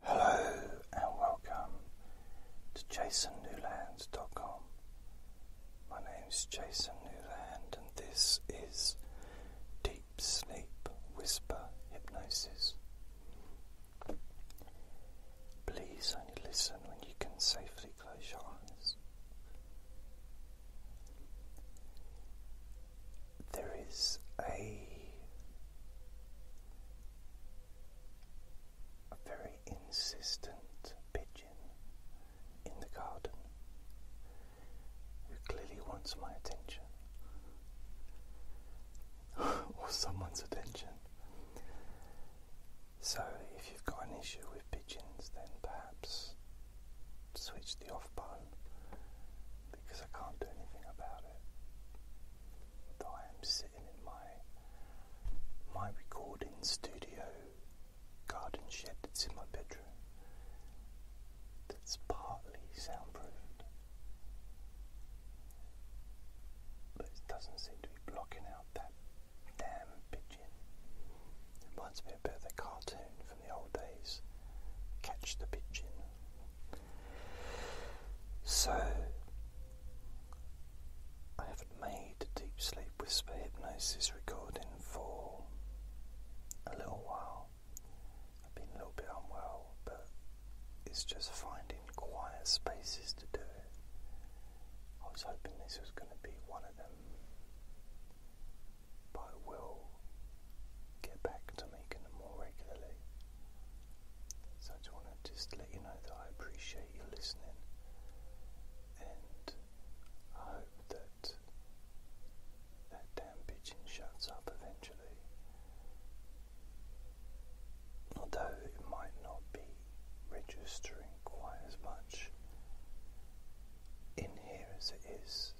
Hello and welcome to jasonnewlands.com. My name is Jason Newland and this is Deep Sleep Whisper Hypnosis. Please only listen when you can safely close your eyes. There is a a very insistent pigeon in the garden who clearly wants my attention or someone's attention. So, if you've got an issue with pigeons, then perhaps switch the off button because I can't do anything about it that I am sitting in my my recording studio garden shed that's in my bedroom that's partly soundproofed. But it doesn't seem to be blocking out that damn pigeon. It reminds me a bit of the cartoon from the old days, Catch the Pigeon. So, I haven't made a deep sleep whisper hypnosis recording for a little while. I've been a little bit unwell, but it's just finding quiet spaces to do it. I was hoping this was going to be one of them, but it will get back to me more regularly. So I just want to just let you know that I appreciate you listening and I hope that that damn pigeon shuts up eventually. Although it might not be registering quite as much in here as it is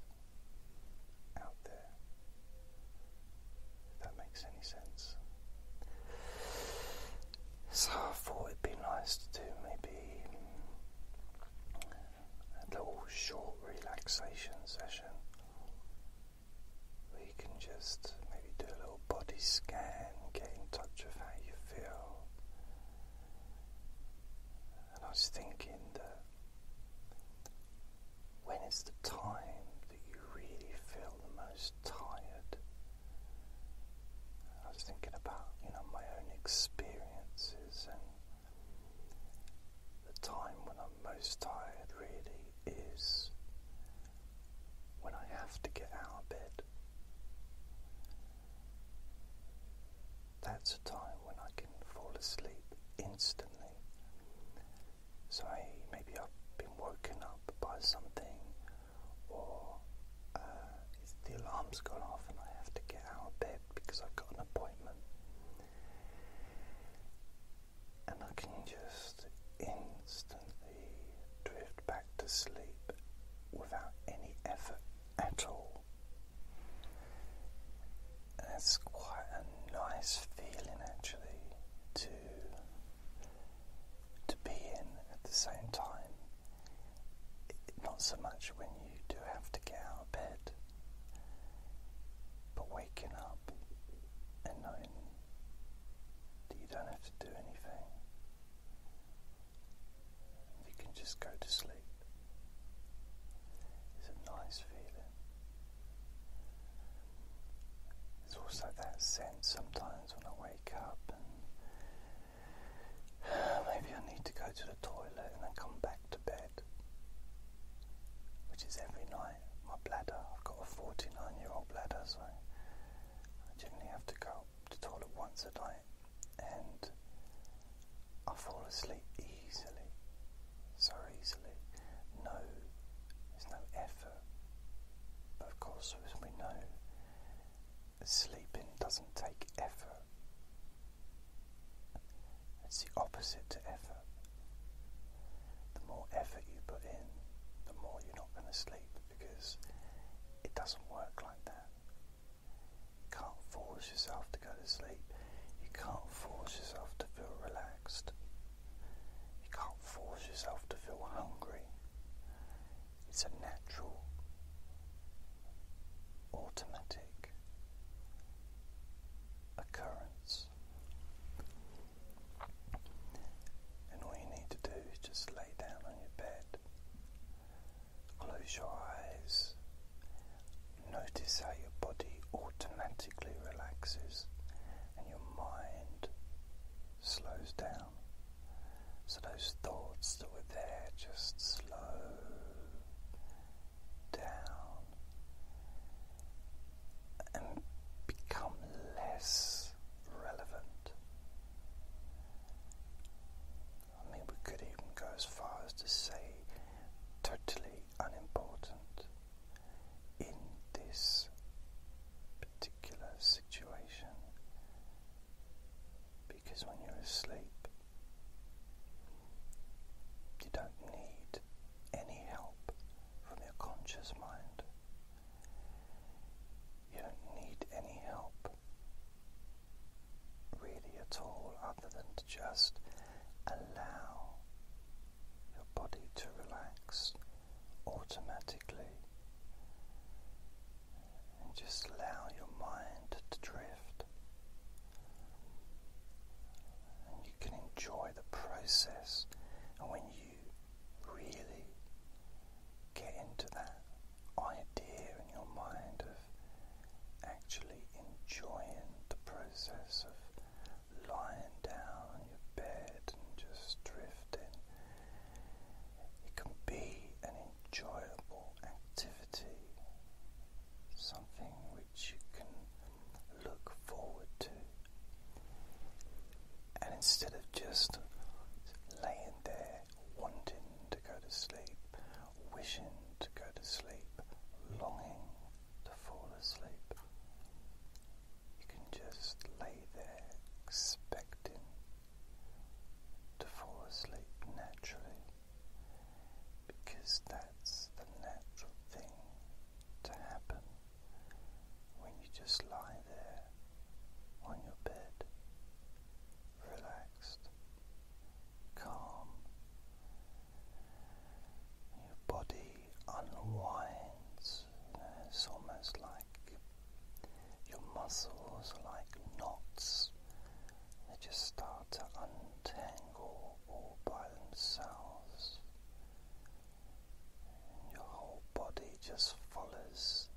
out there. If that makes any sense. So I thought it'd be nice to do maybe a little short relaxation session where can just maybe do a little body scan, get in touch with how you feel. And I was thinking that when is the time that you really feel the most tired? I was thinking about, you know, my own experiences and the time when I'm most tired really is when I have to get out of bed. That's a time when I can fall asleep instantly. So I, maybe I've been woken up by something, or uh, the alarm's gone off and I have to get out of bed because I've got an appointment. And I can just instantly drift back to sleep without any effort at all. And quite an nice feeling actually to to be in at the same time. not so much when you do have to get out of bed, but waking up and knowing that you don't have to do anything. You can just go to sleep. It's a nice feeling. There's also that sense sometimes when I wake up maybe I need to go to the toilet and then come back to bed, which is every night. My bladder, I've got a 49 year old bladder, so I generally have to go to the toilet once a night and I fall asleep easily, so easily. No, there's no effort. But of course, as we know, sleeping doesn't take effort. It's the opposite to effort. The more effort you put in, the more you're not going to sleep because it doesn't work like that. You can't force yourself to go to sleep. You can't force yourself to feel relaxed. You can't force yourself to feel hungry. It's a natural, automatic occurrence. And all you need to do is just lay down on your bed, close your eyes, Notice how your body automatically relaxes and your mind slows down. So those thoughts that were there just slow down and become less relevant. I mean, we could even go as far as to say totally unimportant in this particular situation because when you're asleep, you don't need any help from your conscious mind. You don't need any help really at all, other than to just allow your body to relax automatically and just allow your mind to drift. And you can enjoy the process, and when you really get into that idea in your mind of actually enjoying the process of lying down on your bed and just drifting. It can be an enjoyable activity, something which you can look forward to. And instead of just laying there wanting to go to sleep, wishing to go to sleep, longing to fall asleep, you can just lay there expecting to fall asleep naturally because that's the natural thing to happen when you just lie there on your bed, relaxed, calm, your body unwinds. it's almost like your muscles are like knots. They just start to untangle all by themselves. your whole body just follows.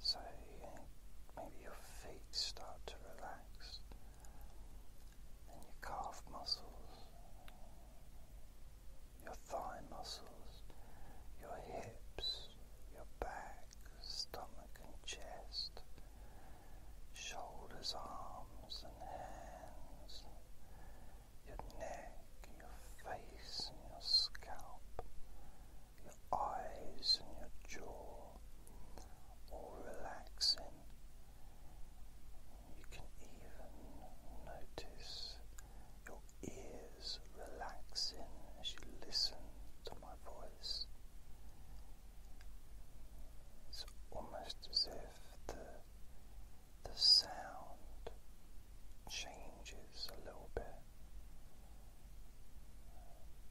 So maybe your feet start to relax and your calf muscles, your thigh muscles, your hips, your back, stomach and chest, shoulders, arms and hands, your neck, your face and your scalp, your eyes and your jaw, all relaxing you can even notice your ears relaxing as you listen to my voice. It's almost as if the, the sound changes a little bit,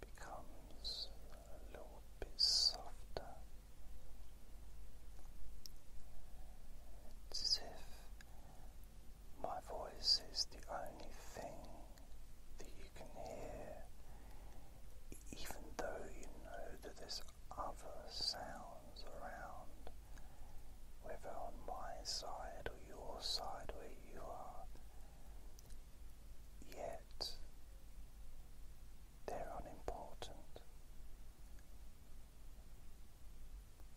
becomes a little bit softer. It's as if my voice is the only thing that you can hear, even though you know that there's other sounds around, whether on my side or your side where you are. Yet they're unimportant.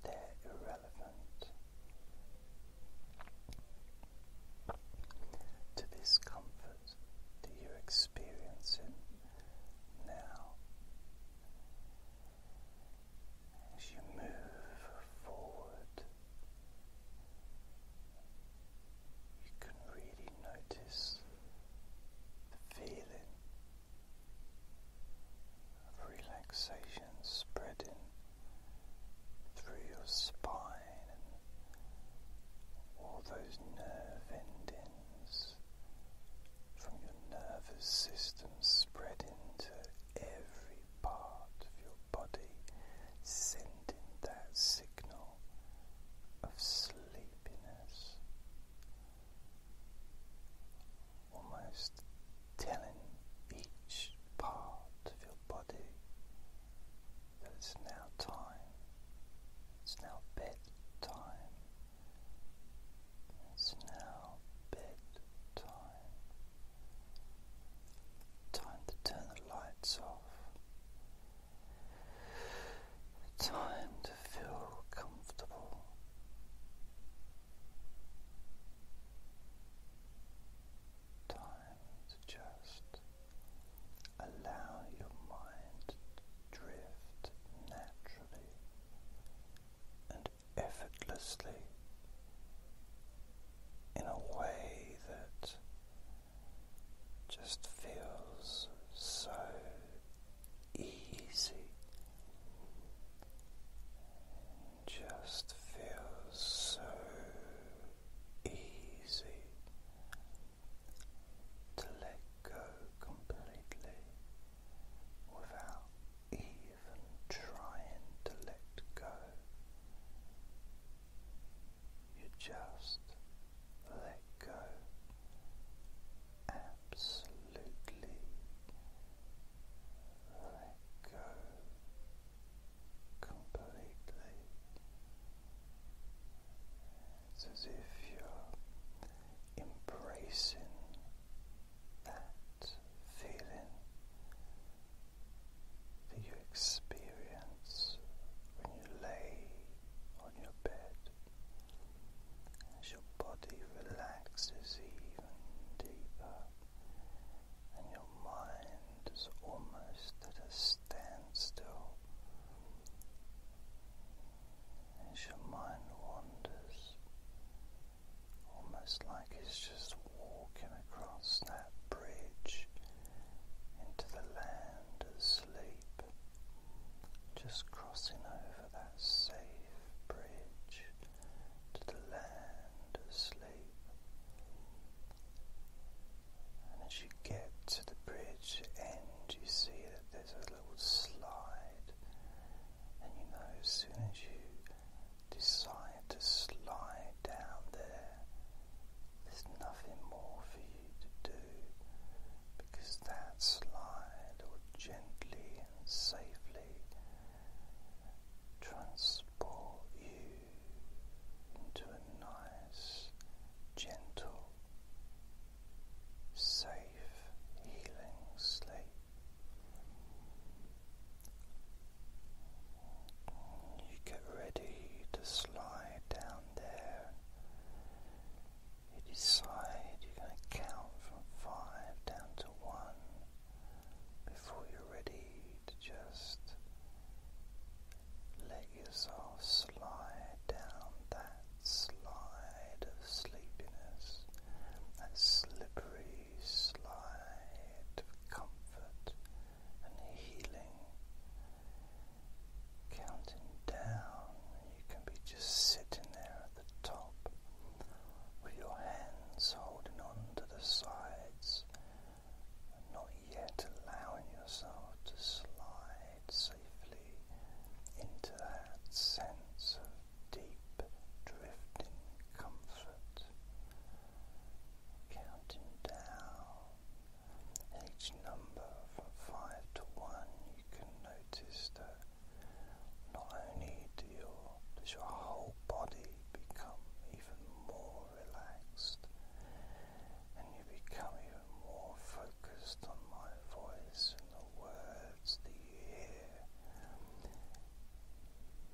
They're irrelevant to this comfort that you're experiencing now. As you move forward you can really notice the feeling of relaxation spreading through your spine and all those nerve endings from your nervous system spreading to every part of your body, sending that signal of sleepiness almost telling each part of your body that it's now time, it's now bedtime, it's now bedtime. Time to turn the lights off. Time to feel comfortable. Time to just allow your mind to drift naturally and effortlessly in a way that just feels so easy, just feels so easy to let go completely without even trying to let go you just let go absolutely let go completely it's as if you're embracing that feeling that you experience when you lay on your bed as your body relaxes even deeper and your mind is almost at a standstill as your mind wanders almost like it's just walking across that bridge into the land of sleep just crossing over that safe bridge to the land of sleep. And as you get to the bridge end, you see that there's a little slide, and you know as soon as you decide to slide down there, there's nothing more for you to do because that slide will gently and safely transport you into a nice, gentle, safe, healing sleep. You get ready to slide down there you decide you're going to count from five down to one before you're ready to just let yourself slide down that slide of sleepiness, that slippery slide of comfort and healing. Counting down, you can be just sitting there at the top with your hands holding on to the sides, not yet allowing yourself to slide safely into that sense of deep drifting comfort. Counting down and each number from 5 to 1, you can notice that not only do your whole body become even more relaxed, and you become even more focused on my voice and the words that you hear.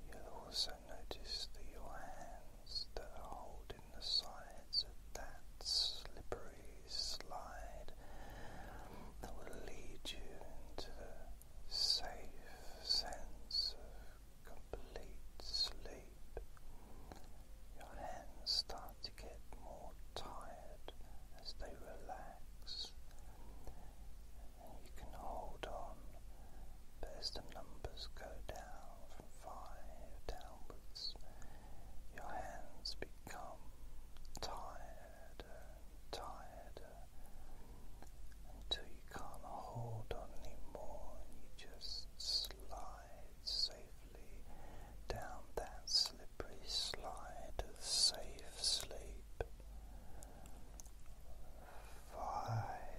You'll also notice that your hands that are holding the sides of that slippery slide that will lead you into the safe sense of complete sleep. Your hands start to get more tired as they relax. And you can hold on, but as the numbers go down, and five downwards, your hands become tired, and tighter until you can't hold on anymore and you just slide safely down that slippery slide to safe sleep. Five